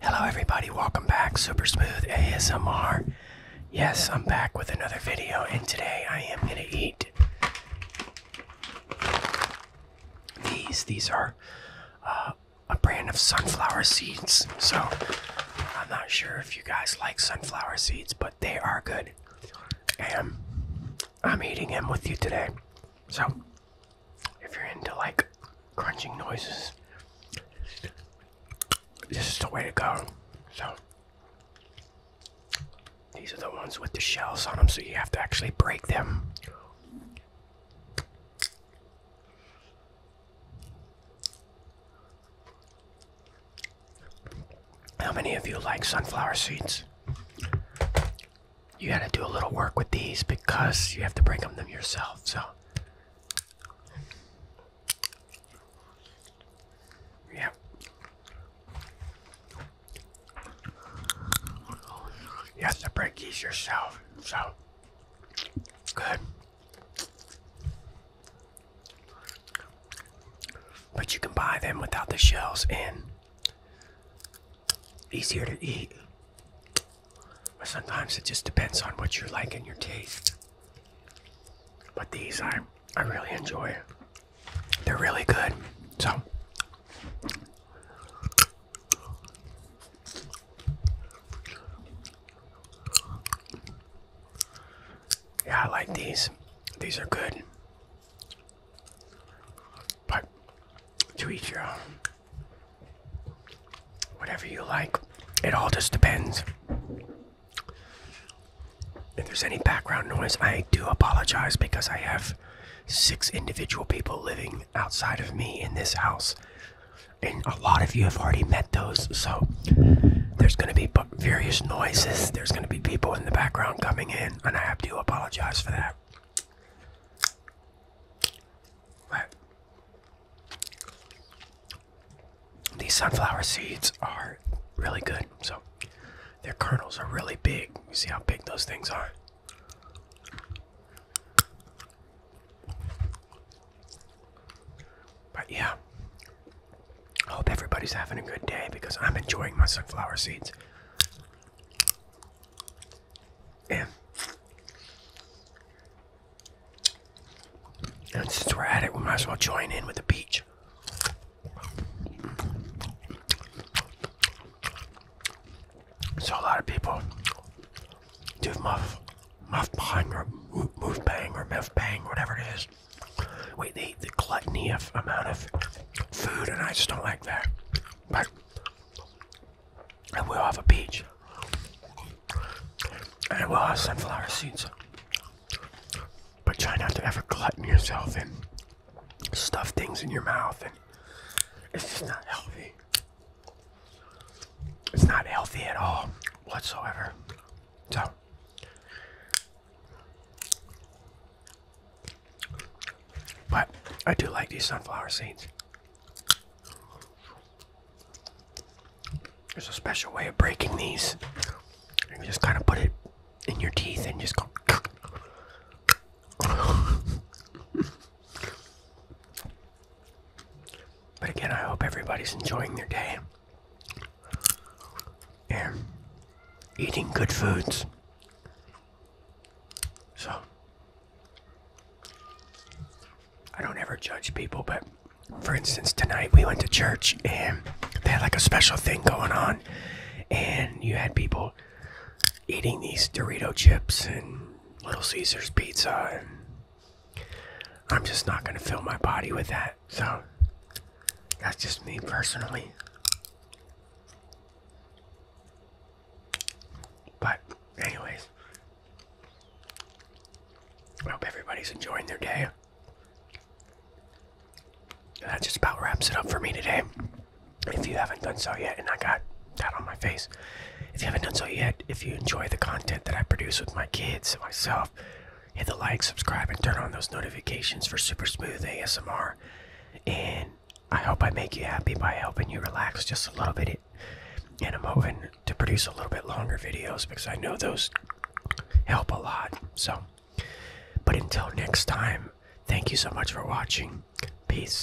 Hello everybody, welcome back. Super Smooth ASMR. Yes, I'm back with another video and today I am gonna eat these. These are uh, a brand of sunflower seeds. So I'm not sure if you guys like sunflower seeds, but they are good. And I'm eating them with you today. So if you're into like crunching noises, this is the way to go. So, these are the ones with the shells on them, so you have to actually break them. How many of you like sunflower seeds? you gotta do a little work with these because you have to break them them yourself. So yeah. You have to break these yourself. So good. But you can buy them without the shells in easier to eat. But sometimes it just depends on what you are like and your taste. But these I I really enjoy. They're really good. So Yeah, I like these. These are good. But to each your own. Whatever you like. It all just depends. If there's any background noise, I do apologize because I have six individual people living outside of me in this house. And a lot of you have already met those, so there's going to be various noises. There's going to be people in the background coming in, and I have to apologize for that. But these sunflower seeds are really good. So their kernels are really big. You see how big those things are. But yeah, hope everybody's having a good day because I'm enjoying my sunflower seeds. And, since we're at it, we might as well join in with the peach. So a lot of people do muff, muff bang or move bang or muff bang, whatever it is. Wait, they the gluttony of amount of food, and I just don't like that. But I will have a beach And I will have sunflower seeds. But try not to ever glutton yourself and stuff things in your mouth, and it's just not healthy. It's not healthy at all, whatsoever. So but I do like these sunflower seeds. There's a special way of breaking these. You just kind of put it in your teeth and just go. But again, I hope everybody's enjoying their day and eating good foods. So, I don't ever judge people, but for instance, tonight we went to church and they had like a special thing going on, and you had people eating these Dorito chips and Little Caesars pizza and I'm just not going to fill my body with that. So that's just me personally. But, anyways, I hope everybody's enjoying their day. That just about wraps it up for me today. If you haven't done so yet, and I got that on my face. If you haven't done so yet, if you enjoy the content that I produce with my kids and myself, hit the like, subscribe, and turn on those notifications for super smooth ASMR. And I hope I make you happy by helping you relax just a little bit. And I'm hoping to produce a little bit longer videos because I know those help a lot. So, but until next time, thank you so much for watching. Peace.